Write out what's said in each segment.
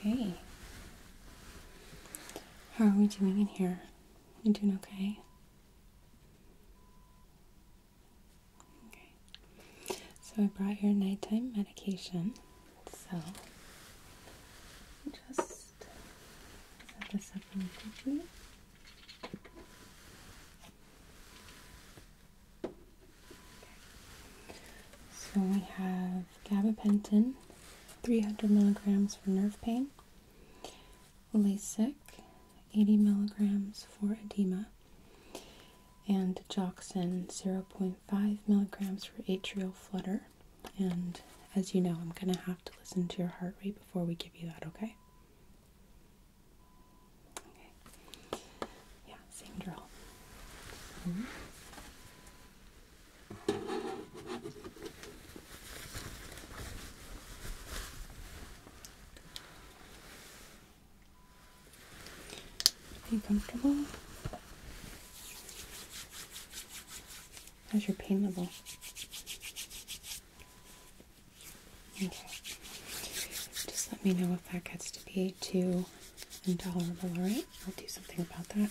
Okay. How are we doing in here? You doing okay? Okay. So I brought your nighttime medication. So just set this up quickly. So we have gabapentin, 300 milligrams for nerve pain, Lasik, 80 milligrams for edema, and Joxin 0.5 milligrams for atrial flutter. And as you know, I'm going to have to listen to your heart rate before we give you that, okay? Yeah, same drill. Are you comfortable? How's your pain level? Okay. Just let me know if that gets to be too intolerable, alright? I'll do something about that.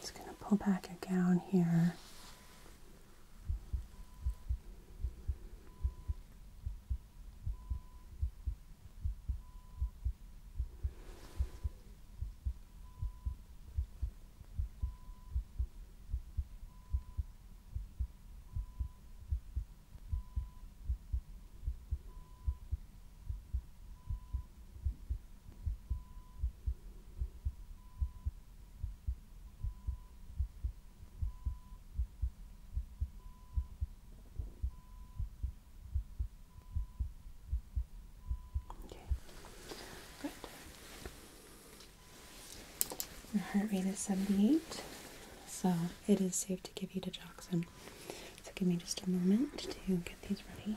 Just going to pull back your gown here. Okay, good. Your heart rate is 78, so it is safe to give you digoxin. So give me just a moment to get these ready.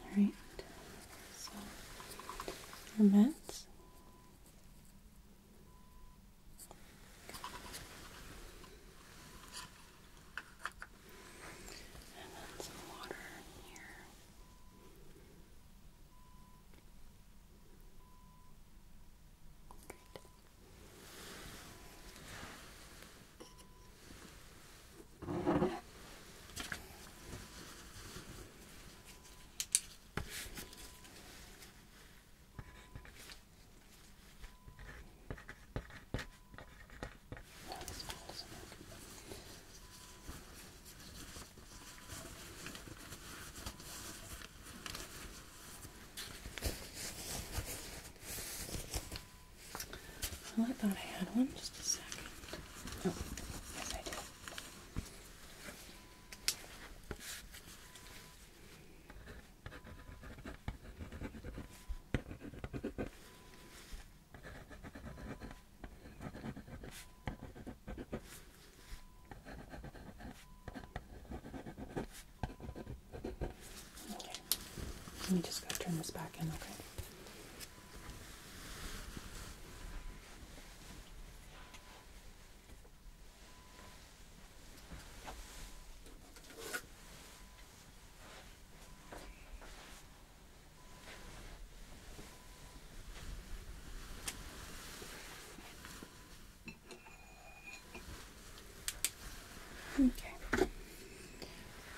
All right, so our mats. And then some water here. Great. Okay. That oh, is awesome. Well, I thought I had one. Just a second. Oh, yes, I do. Okay. Let me just go turn this back in, okay? Okay. Okay.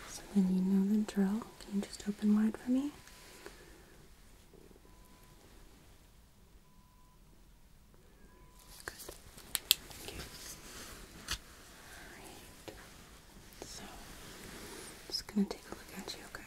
So then you know the drill. Can you just open wide for me? Good. Okay. Alright. So, I'm just going to take a look at you, okay? Okay.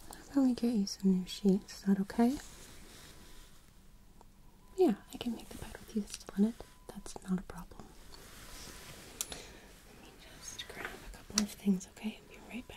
I'll definitely get you some new sheets. Is that okay? Yeah, I can make the bed with you still in it. That's not a problem. Let me just grab a couple of things, okay? be right back.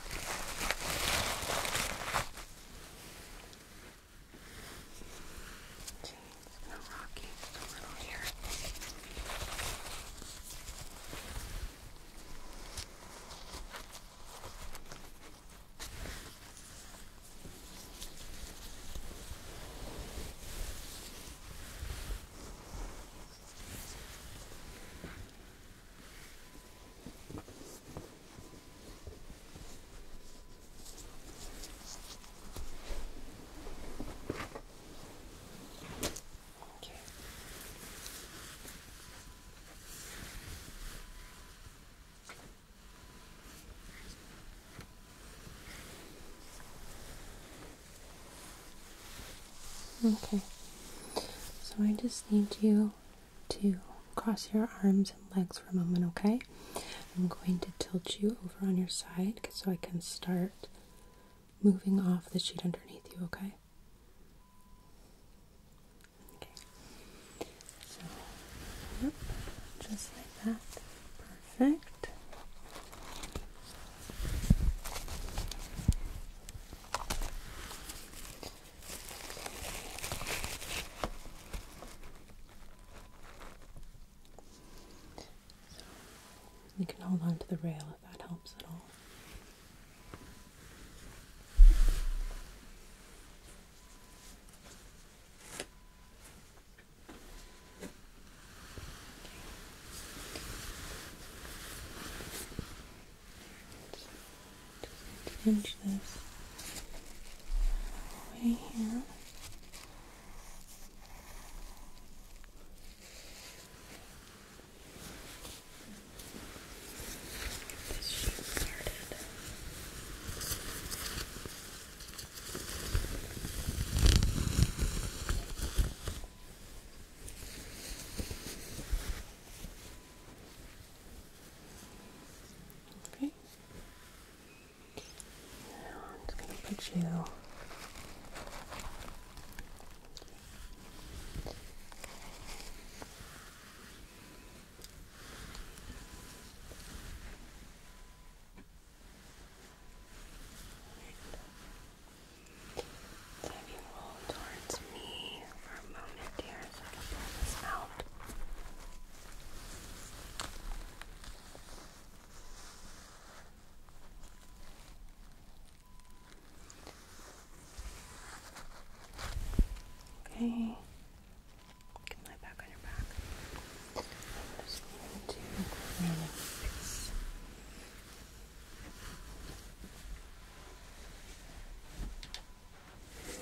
Jeez, it's gonna rock you just a little here. Okay. Okay. So I just need you to cross your arms and legs for a moment, okay? I'm going to tilt you over on your side so I can start moving off the sheet underneath you, okay? Okay. So, just like that. Perfect you can hold on to the rail if that helps at all just need pinch this away here. Get this shape started. Okay. Now I'm just going to put you. Have towards me for a moment here so I can pull this out. Okay. Can back on your back. I'm just going to fix.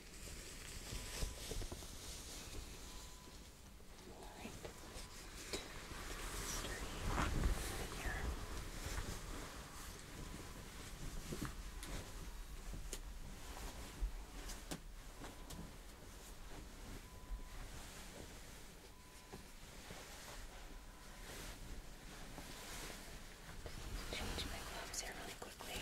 All right. Start here. All Change my gloves here really quickly.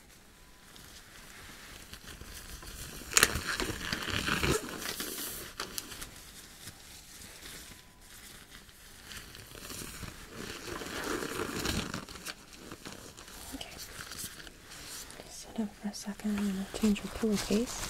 Okay. Just sit up for a second. I'm going to change your pillowcase.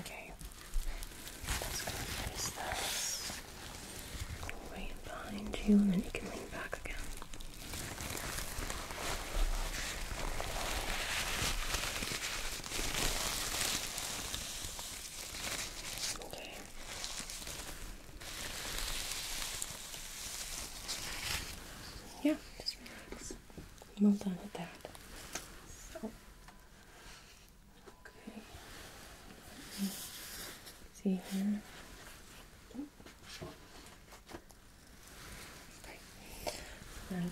Okay, let's go place this right behind you, and then you can lean back again. Okay. Yeah, just relax. Well done at that. okay. see here. Okay. And,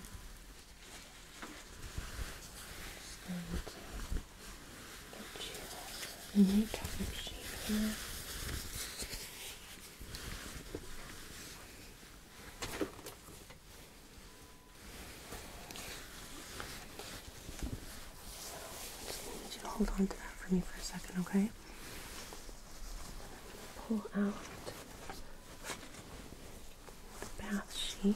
and get you in your shape here. Just need you to hold on to that for me for a second, okay? Pull out the bath sheet.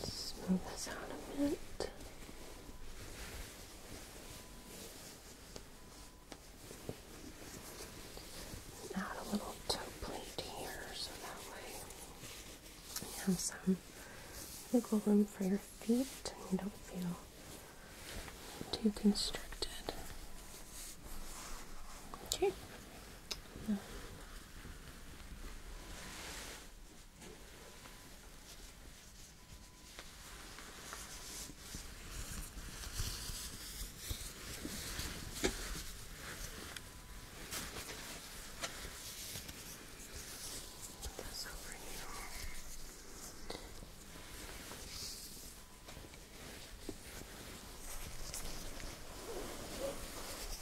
Just smooth this out a bit. Add a little toe plate here so that way you have some wiggle room for your feet and you don't feel too constricted. Okay. Put this over here. Okay.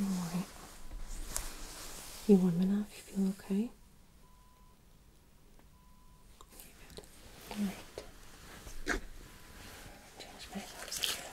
Alright. You warm enough? You feel okay? Alright. Change my clothes again.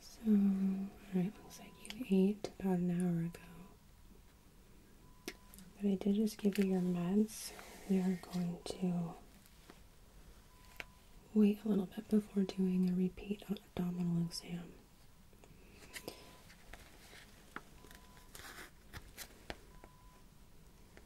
so, alright, looks like you ate about an hour ago. But I did just give you your meds. We are going to wait a little bit before doing a repeat abdominal exam.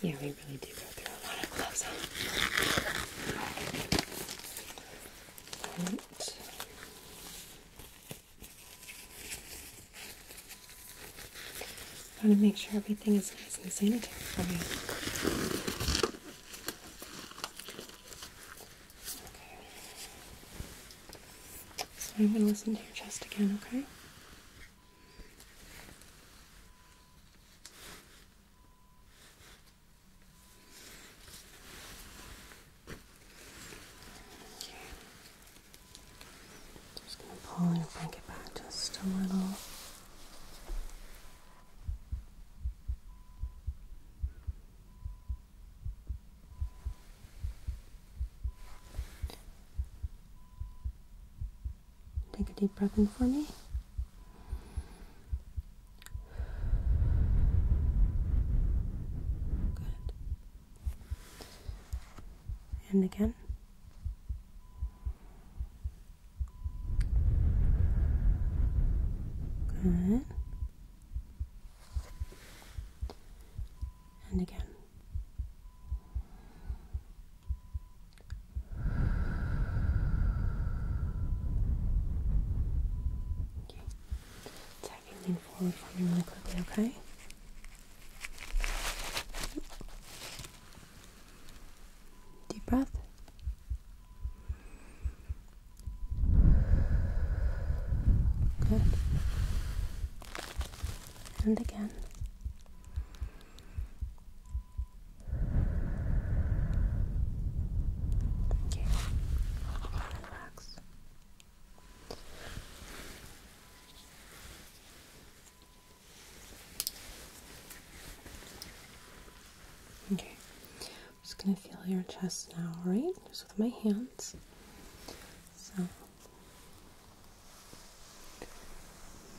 Yeah, we really do go through a lot of gloves, I want to make sure everything is nice and sanitary for you. Okay. So I'm going to listen to your chest again, okay? Just going to pull your blanket back just a little. Take a deep breath in for me. Good. And again. Good. And again. Okay. Tag and lean forward for me really quickly, okay? Deep breath. Good. And again. Okay, relax. Okay, I'm just gonna feel your chest now, right? Just with my hands. So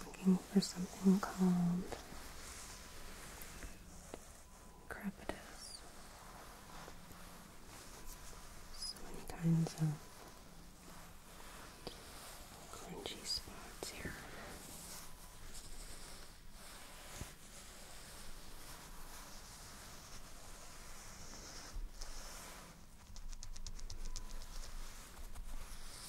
Looking for something called crepitus. So kinds of crunchy spots here.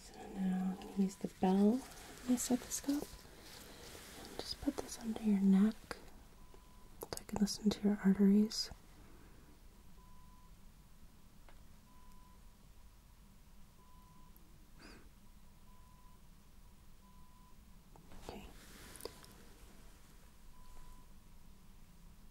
So now I'm going to use the bell of my stethoscope and just put this under your neck so I can listen to your arteries. Okay.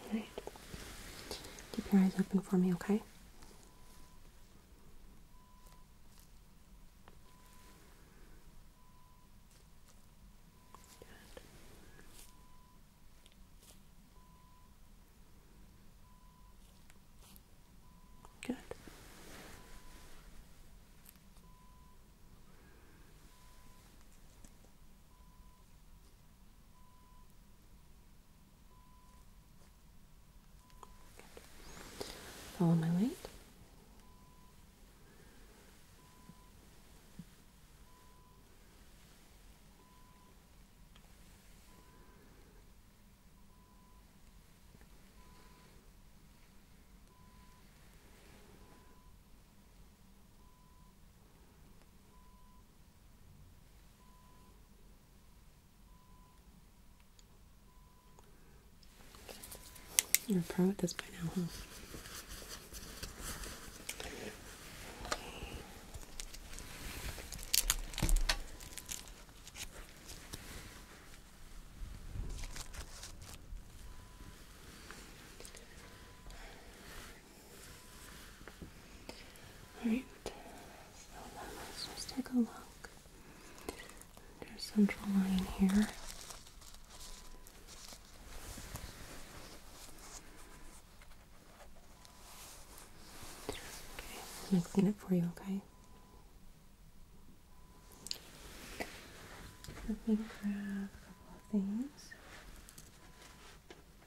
All right. Keep your eyes open for me, okay? Good. Good. Good. Follow my weight. You're a pro at this by now, huh? Alright, so let's just take a look at your central line here. Okay, I'm going clean it for you, okay? Let me grab a couple of things.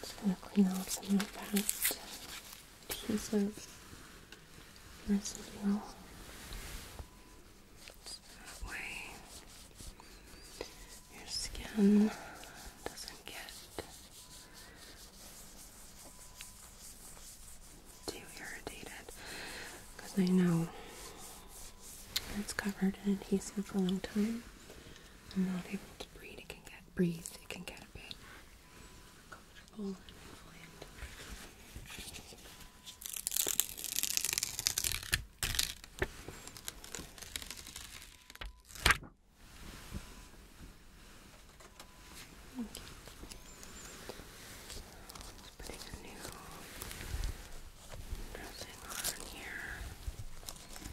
Just gonna clean off some of that adhesive residual. So way your skin doesn't get too irritated because I know it's covered in adhesive for a long time. I'm not able to breathe. It can get breathe. It can get a bit uncomfortable Okay. Just putting a new dressing on here. Okay.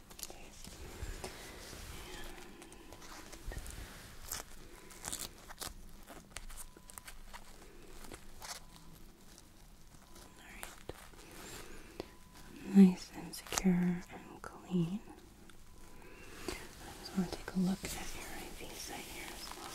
All right. Nice and secure and clean. I just want to take a look at your IV site here as well.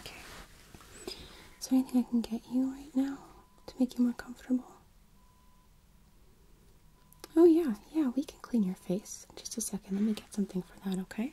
Okay. Is there anything I can get you right now to make you more comfortable? Oh, yeah, yeah, we can clean your face. just a second, let me get something for that, okay?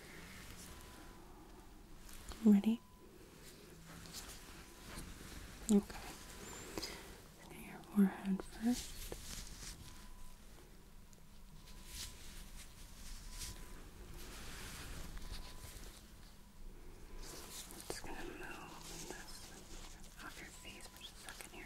Ready? Okay. your forehead 1st just gonna move this off your face for just a second here.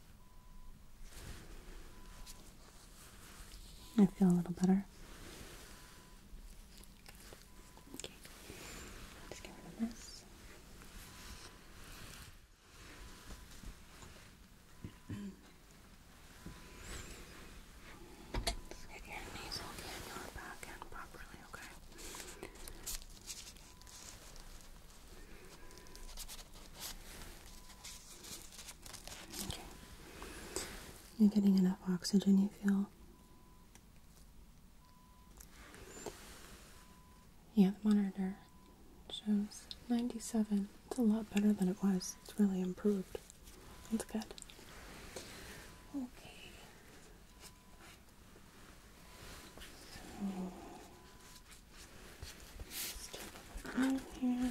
I feel a little better. Okay, let get rid of this. Let's get your nasal cannula back in properly, Okay. You're getting enough oxygen, you feel? Yeah, the monitor shows 97. It's a lot better than it was. It's really improved. That's good. Okay in here.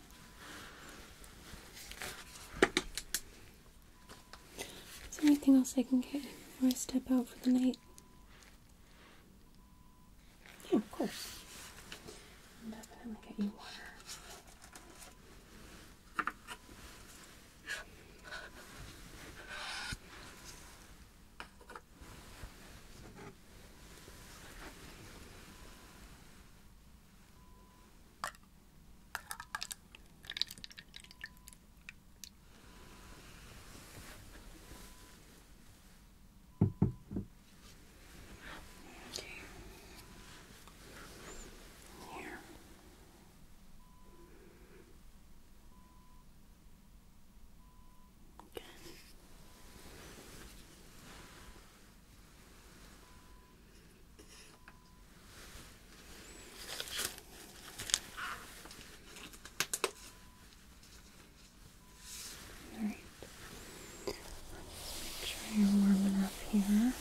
Is there anything else I can get before I step out for the night? Yeah, of course. definitely get you water. Okay. Here. Again. All right. Make sure you're warm enough here.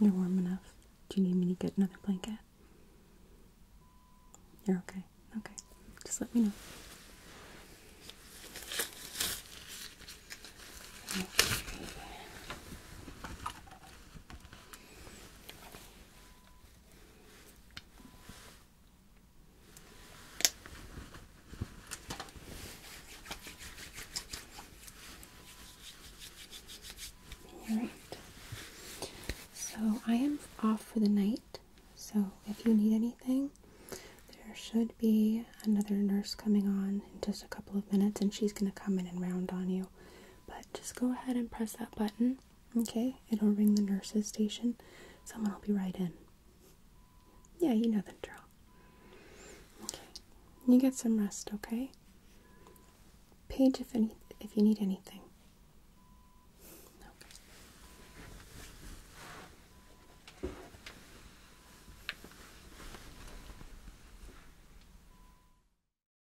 You're warm enough. Do you need me to get another blanket? You're okay. Okay. Just let me know. Okay. All right. So I am off for the night. So if you need anything, there should be another nurse coming on in just a couple of minutes, and she's going to come in and round on you. But just go ahead and press that button, okay? It'll ring the nurse's station. Someone will be right in. Yeah, you know the drill. Okay, you get some rest, okay? Page if any if you need anything. Okay.